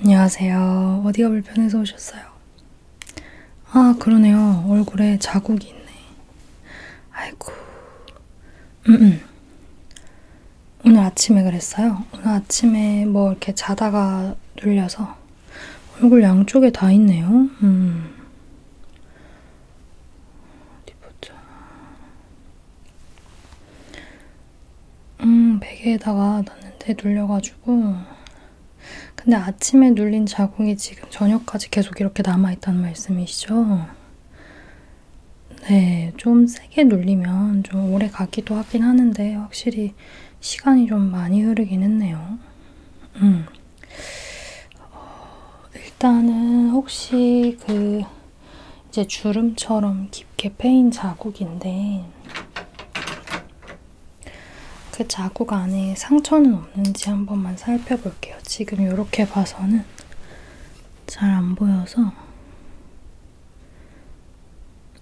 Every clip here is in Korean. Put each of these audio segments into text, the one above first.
안녕하세요. 어디가 불편해서 오셨어요? 아, 그러네요. 얼굴에 자국이 있네. 아이고. 음, 음. 오늘 아침에 그랬어요. 오늘 아침에 뭐 이렇게 자다가 눌려서 얼굴 양쪽에 다 있네요. 음. 어디 보자. 음, 베개에다가 놨는데 눌려가지고. 근데 아침에 눌린 자궁이 지금 저녁까지 계속 이렇게 남아있다는 말씀이시죠? 네, 좀 세게 눌리면 좀 오래 가기도 하긴 하는데, 확실히 시간이 좀 많이 흐르긴 했네요. 음. 어, 일단은 혹시 그 이제 주름처럼 깊게 패인 자국인데 그 자국 안에 상처는 없는지 한 번만 살펴볼게요. 지금 이렇게 봐서는 잘 안 보여서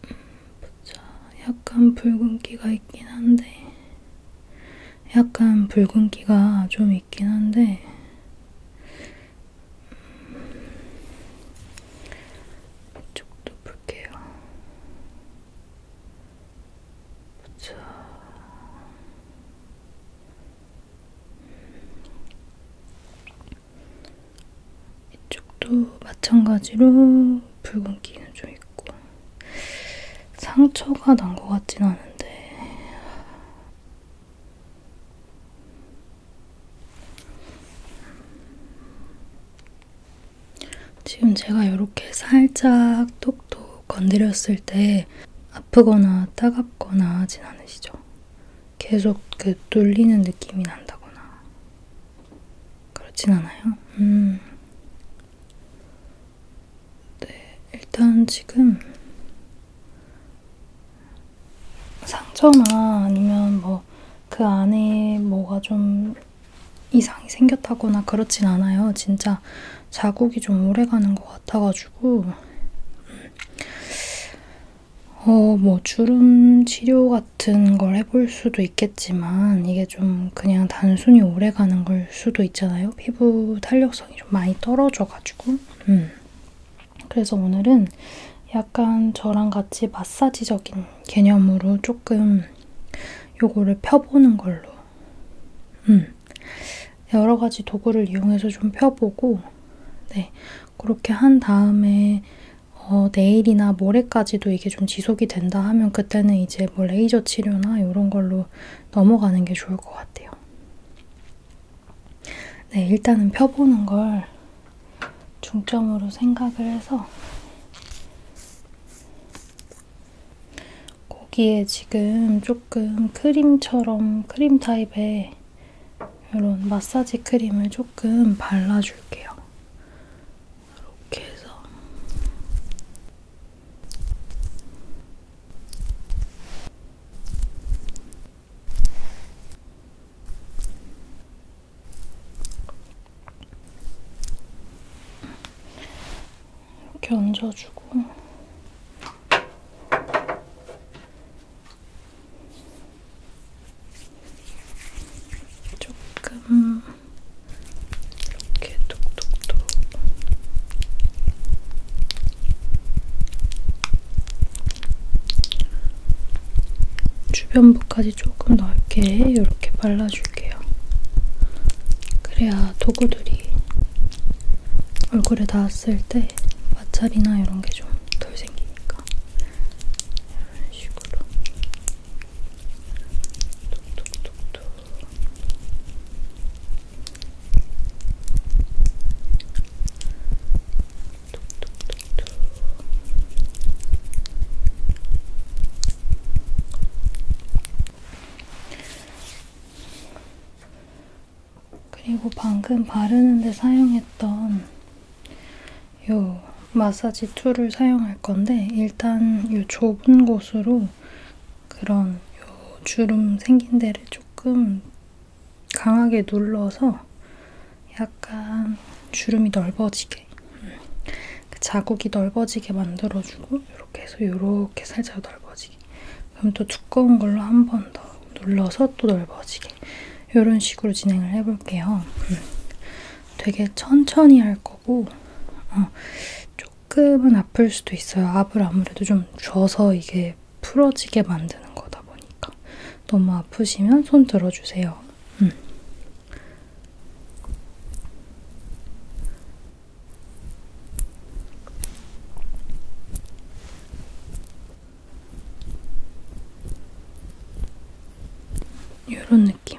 보자. 음, 약간 붉은기가 있긴 한데 약간 붉은기가 좀 있긴 한데 이쪽도 볼게요. 보자. 이쪽도 마찬가지로 붉은 기는 좀 있고 상처가 난 것 같진 않은데 지금 제가 이렇게 살짝 톡톡 건드렸을 때 아프거나 따갑거나 하진 않으시죠? 계속 그 눌리는 느낌이 난다거나 그렇진 않아요? 음. 네, 일단 지금 상처나 아니면 뭐 그 안에 뭐가 좀 이상이 생겼다거나 그렇진 않아요. 진짜 자국이 좀 오래가는 것 같아가지고 어, 뭐 주름 치료 같은 걸 해볼 수도 있겠지만 이게 좀 그냥 단순히 오래가는 걸 수도 있잖아요. 피부 탄력성이 좀 많이 떨어져가지고 음. 그래서 오늘은 약간 저랑 같이 마사지적인 개념으로 조금 요거를 펴보는 걸로. 음. 여러 가지 도구를 이용해서 좀 펴보고, 네. 그렇게 한 다음에, 어, 내일이나 모레까지도 이게 좀 지속이 된다 하면 그때는 이제 뭐 레이저 치료나 이런 걸로 넘어가는 게 좋을 것 같아요. 네, 일단은 펴보는 걸 중점으로 생각을 해서 거기에 지금 조금 크림처럼 크림 타입의 이런 마사지 크림을 조금 발라줄게요. 이렇게 해서 이렇게 얹어주고 조금 이렇게 톡톡톡 주변부까지 조금 넓게 이렇게 발라줄게요. 그래야 도구들이 얼굴에 닿았을 때 마찰이나 이런 게 좀 덜 생기니까 이런 식으로 톡톡톡톡 그리고 방금 바르는데 사용했던 요 마사지 툴을 사용할 건데 일단 요 좁은 곳으로 그런 요 주름 생긴 데를 조금 강하게 눌러서 약간 주름이 넓어지게 음, 그 자국이 넓어지게 만들어주고 이렇게 해서 이렇게 살짝 넓어지게 그럼 또 두꺼운 걸로 한 번 더 눌러서 또 넓어지게 이런 식으로 진행을 해볼게요. 음, 되게 천천히 할 거고 어, 조금은 아플 수도 있어요. 압을 아무래도 좀 줘서 이게 풀어지게 만드는 거다 보니까. 너무 아프시면 손 들어주세요. 음. 이런 느낌.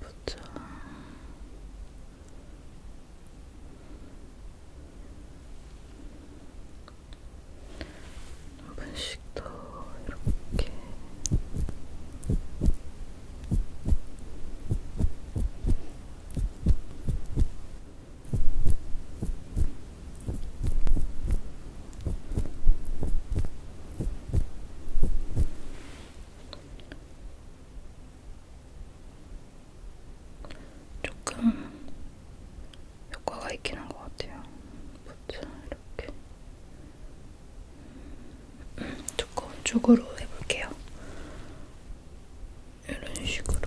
보자. 한 번씩 더 이렇게. 조금 효과가 있긴 한 것 같아요. 보자, 이렇게. 두꺼운 음, 쪽으로 해볼게요. 이런 식으로. 이렇게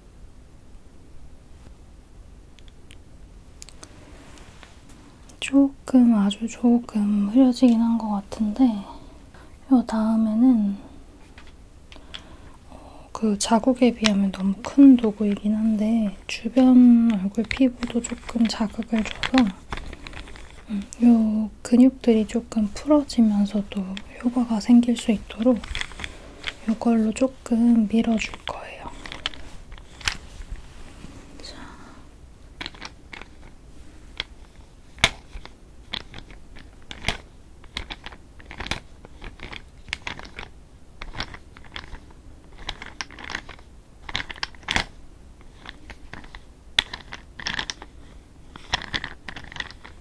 조금 아주 조금 흐려지긴 한 것 같은데 요 다음에는 어, 그 자국에 비하면 너무 큰 도구이긴 한데 주변 얼굴 피부도 조금 자극을 줘서 음, 요 근육들이 조금 풀어지면서도 효과가 생길 수 있도록 이걸로 조금 조금 밀어줄 거예요. 자.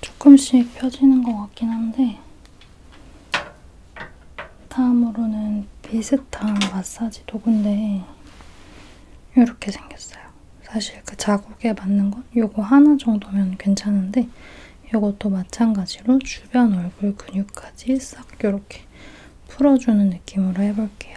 조금씩 펴지는 것 같긴 한데 다음으로는 비슷한 마사지 도구인데 이렇게 생겼어요. 사실 그 자국에 맞는 건 요거 하나 정도면 괜찮은데 요것도 마찬가지로 주변 얼굴 근육까지 싹 요렇게 풀어주는 느낌으로 해볼게요.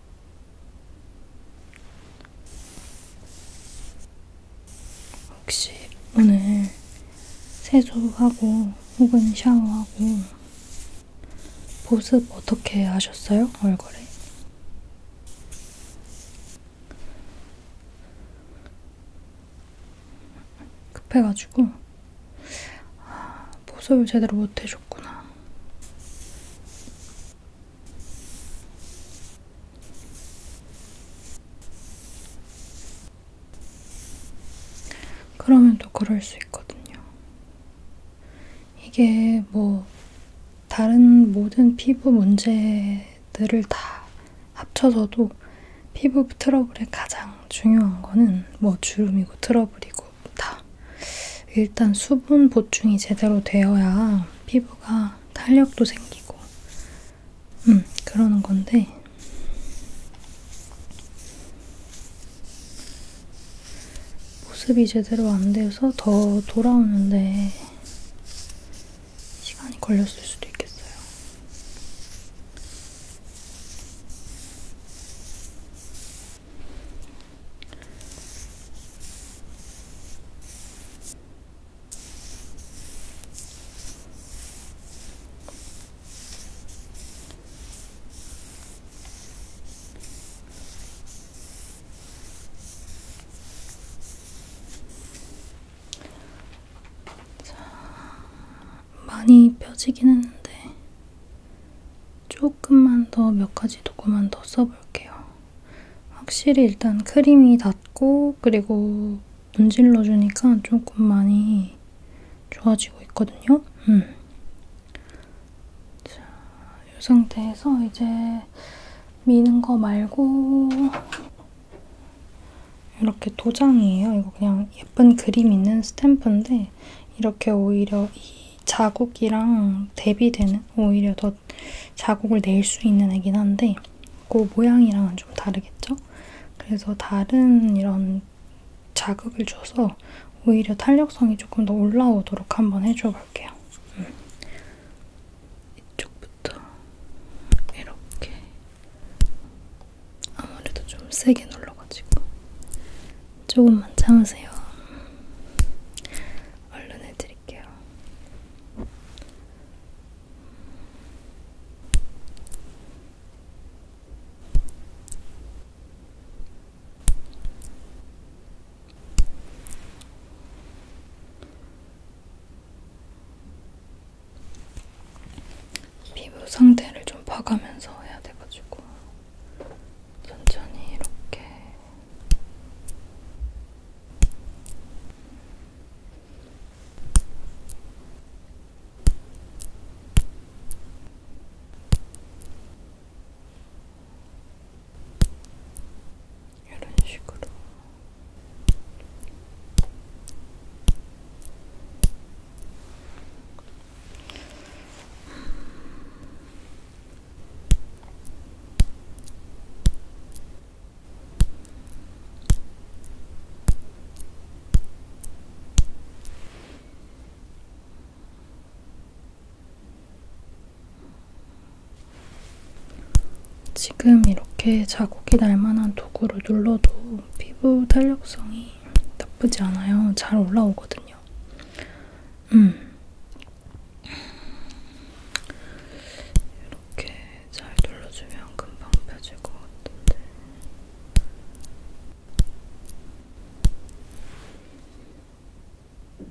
혹시 오늘 세수하고 혹은 샤워하고 보습 어떻게 하셨어요? 얼굴에? 급해가지고 아, 보습을 제대로 못해줬구나. 그러면 또 그럴 수 있거든요. 이게 뭐 다른 모든 피부 문제들을 다 합쳐서도 피부 트러블의 가장 중요한 거는 뭐 주름이고 트러블이고 다 일단 수분 보충이 제대로 되어야 피부가 탄력도 생기고, 음, 그러는 건데, 모습이 제대로 안 돼서 더 돌아오는데 시간이 걸렸을 수도 있겠어요. 자, 많이 펴지긴 했는데 조금만 더 몇 가지 도구만 더 써볼게요. 확실히 일단 크림이 닿고 그리고 문질러주니까 조금 많이 좋아지고 있거든요. 음. 자, 이 상태에서 이제 미는 거 말고 이렇게 도장이에요. 이거 그냥 예쁜 그림 있는 스탬프인데 이렇게 오히려 이 자국이랑 대비되는 오히려 더 자국을 낼 수 있는 애긴 한데 그 모양이랑은 좀 다르겠죠? 그래서 다른 이런 자극을 줘서 오히려 탄력성이 조금 더 올라오도록 한번 해줘 볼게요. 음. 이쪽부터 이렇게 아무래도 좀 세게 눌러가지고 조금만 참으세요. 얼른 해드릴게요. 피부 상태를 좀 봐가면서 해야 돼가지고 천천히 이렇게 이런 식으로 지금 이렇게 자국이 날 만한 도구로 눌러도 피부 탄력성이 나쁘지 않아요. 잘 올라오거든요. 음, 이렇게 잘 눌러주면 금방 펴질 것 같은데. 이렇게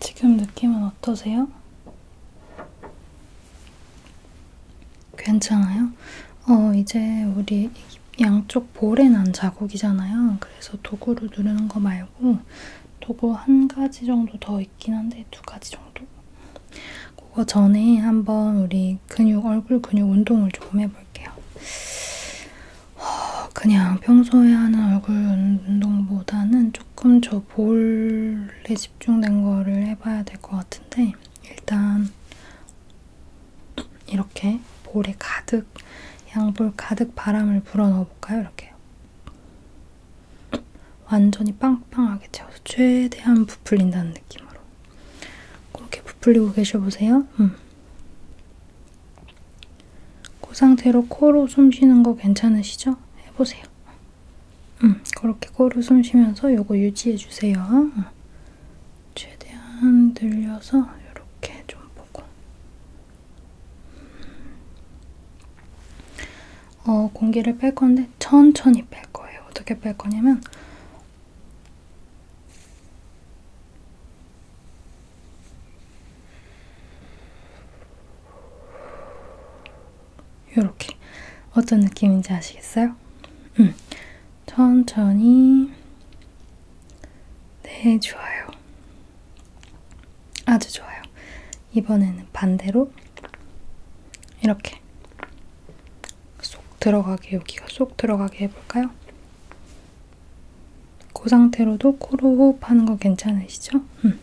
지금 느낌은 어떠세요? 괜찮아요? 어, 이제 우리 양쪽 볼에 난 자국이잖아요. 그래서 도구로 누르는 거 말고 도구 한 가지 정도 더 있긴 한데 두 가지 정도? 그거 전에 한번 우리 근육, 얼굴 근육 운동을 조금 해볼게요. 그냥 평소에 하는 얼굴 운동보다는 조금 저 볼에 집중된 거를 해봐야 될 것 같은데 일단 이렇게 볼에 가득 양 볼 가득 바람을 불어넣어 볼까요? 이렇게요. 완전히 빵빵하게 채워서 최대한 부풀린다는 느낌으로 그렇게 부풀리고 계셔보세요. 음. 그 상태로 코로 숨 쉬는 거 괜찮으시죠? 해보세요. 음, 그렇게 코로 숨 쉬면서 요거 유지해주세요. 최대한 늘려서 이렇게 좀 보고. 어, 공기를 뺄 건데 천천히 뺄 거예요. 어떻게 뺄 거냐면 요렇게 어떤 느낌인지 아시겠어요? 음. 천천히 네 좋아요 아주 좋아요 이번에는 반대로 이렇게 쏙 들어가게 여기가 쏙 들어가게 해볼까요? 그 상태로도 코로 호흡하는 거 괜찮으시죠? 음.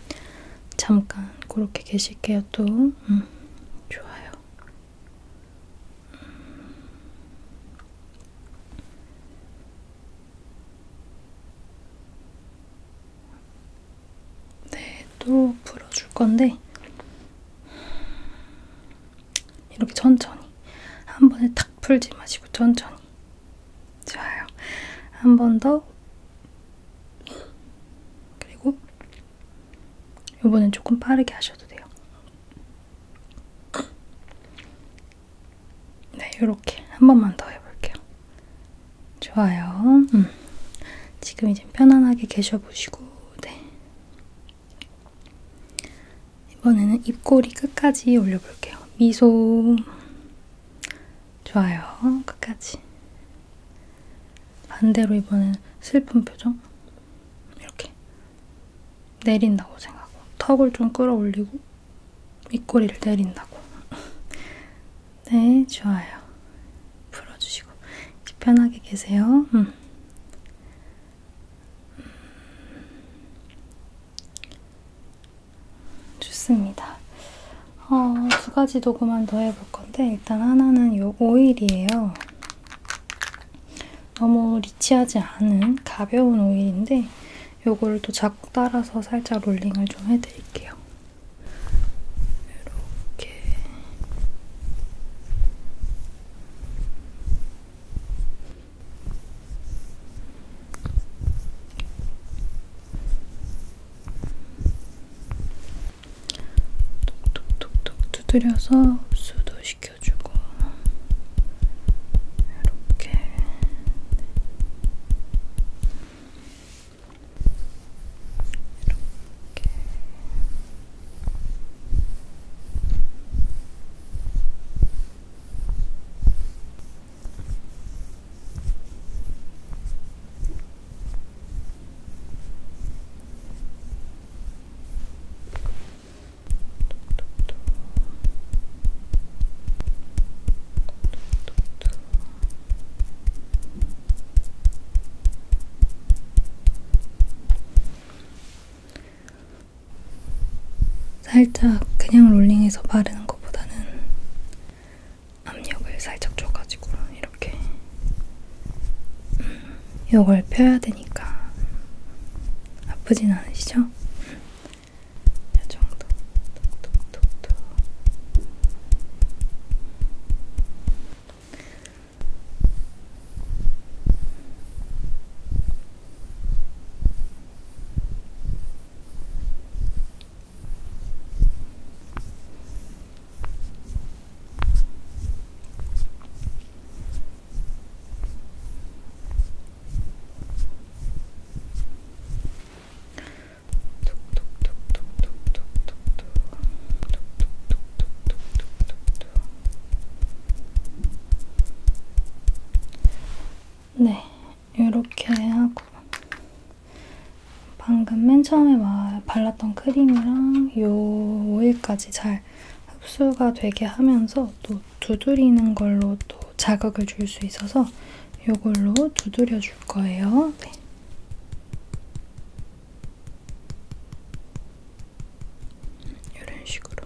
잠깐 그렇게 계실게요 또 음, 좋아요 음. 네, 또 풀어줄 건데 이렇게 천천히 한 번에 탁 풀지 마시고 천천히 좋아요. 한번더 그리고 요번엔 조금 빠르게 하셔도 돼요. 네, 요렇게 한 번만 더 해볼게요. 좋아요. 음. 지금 이제 편안하게 계셔보시고, 네. 이번에는 입꼬리 끝까지 올려볼게요. 미소. 좋아요. 끝까지. 반대로 이번엔 슬픈 표정 이렇게 내린다고 생각하고 턱을 좀 끌어올리고 입꼬리를 내린다고 네 좋아요 풀어주시고 편하게 계세요 음. 음. 좋습니다 어, 두 가지 도구만 더 해볼 건데 일단 하나는 요 오일이에요. 너무 리치하지 않은 가벼운 오일인데 요거를 또 자국 따라서 살짝 롤링을 좀 해드릴게요. 이렇게 톡톡톡톡 두드려서 흡수도 시켜주고 이렇게 이렇게 살짝 그냥 롤링해서 바르는 것보다는 압력을 살짝 줘가지고 이렇게 음, 이걸 펴야 되니까 아프진 않으시죠? 음, 이 정도 톡톡톡톡 네, 이렇게 하고 방금 맨 처음에 발랐던 크림이랑 이 오일까지 잘 흡수가 되게 하면서 또 두드리는 걸로 또 자극을 줄 수 있어서 이걸로 두드려 줄 거예요. 네. 이런 식으로.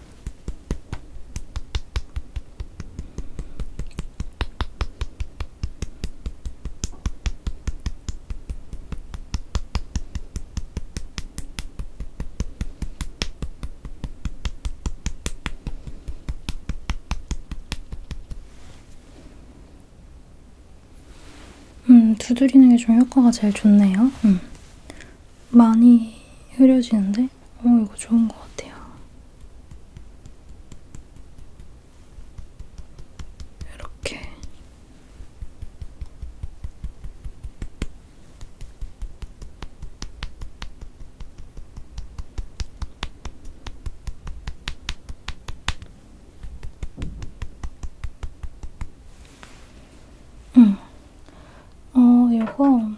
음, 두드리는 게 좀 효과가 제일 좋네요. 음. 많이 흐려지는데? 있는데 어 이거 좋은 것 같아요. 이렇게 응. 음. 어, 이거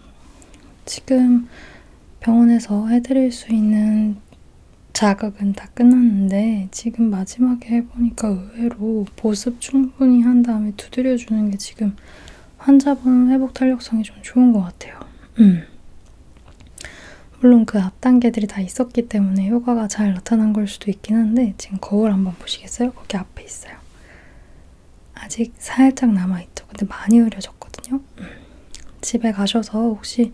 지금 병원에서 해드릴 수 있는 자극은 다 끝났는데 지금 마지막에 해보니까 의외로 보습 충분히 한 다음에 두드려주는 게 지금 환자분 회복 탄력성이 좀 좋은 것 같아요. 음. 물론 그 앞 단계들이 다 있었기 때문에 효과가 잘 나타난 걸 수도 있긴 한데 지금 거울 한번 보시겠어요? 거기 앞에 있어요. 아직 살짝 남아있죠. 근데 많이 흐려졌거든요. 집에 가셔서 혹시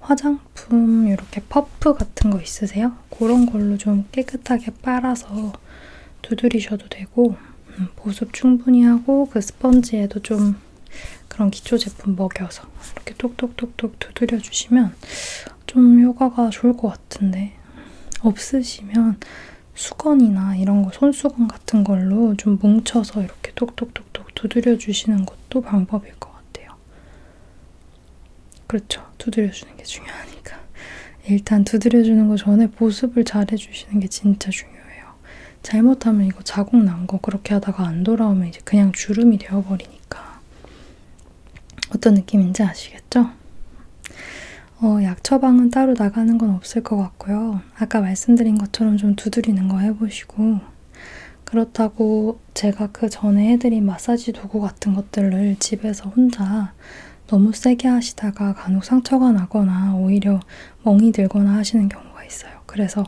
화장품 이렇게 퍼프 같은 거 있으세요? 그런 걸로 좀 깨끗하게 빨아서 두드리셔도 되고 음, 보습 충분히 하고 그 스펀지에도 좀 그런 기초 제품 먹여서 이렇게 톡톡톡톡 두드려 주시면 좀 효과가 좋을 것 같은데 없으시면 수건이나 이런 거 손수건 같은 걸로 좀 뭉쳐서 이렇게 톡톡톡톡 두드려 주시는 것도 방법일 것 같아요. 그렇죠. 두드려 주는 게 중요하니까. 일단 두드려 주는 거 전에 보습을 잘 해주시는 게 진짜 중요해요. 잘못하면 이거 자국 난 거 그렇게 하다가 안 돌아오면 이제 그냥 주름이 되어버리니까. 어떤 느낌인지 아시겠죠? 어, 약 처방은 따로 나가는 건 없을 것 같고요. 아까 말씀드린 것처럼 좀 두드리는 거 해보시고 그렇다고 제가 그 전에 해드린 마사지 도구 같은 것들을 집에서 혼자 너무 세게 하시다가 간혹 상처가 나거나 오히려 멍이 들거나 하시는 경우가 있어요. 그래서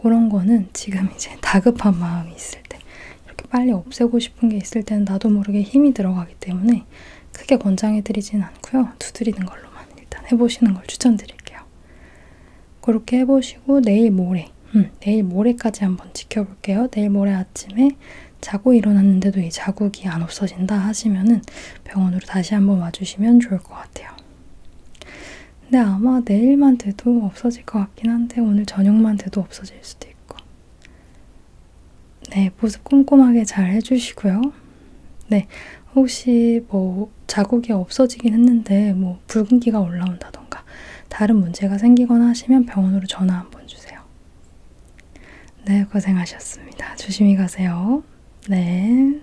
그런 거는 지금 이제 다급한 마음이 있을 때 이렇게 빨리 없애고 싶은 게 있을 때는 나도 모르게 힘이 들어가기 때문에 크게 권장해드리진 않고요. 두드리는 걸로만 일단 해보시는 걸 추천드릴게요. 그렇게 해보시고 내일 모레, 음, 내일 모레까지 한번 지켜볼게요. 내일 모레 아침에 자고 일어났는데도 이 자국이 안 없어진다 하시면은 병원으로 다시 한번 와주시면 좋을 것 같아요. 근데 아마 내일만 돼도 없어질 것 같긴 한데 오늘 저녁만 돼도 없어질 수도 있고 네, 보습 꼼꼼하게 잘 해주시고요. 네, 혹시 뭐 자국이 없어지긴 했는데 뭐 붉은기가 올라온다던가 다른 문제가 생기거나 하시면 병원으로 전화 한 번 주세요. 네, 고생하셨습니다. 조심히 가세요. 네.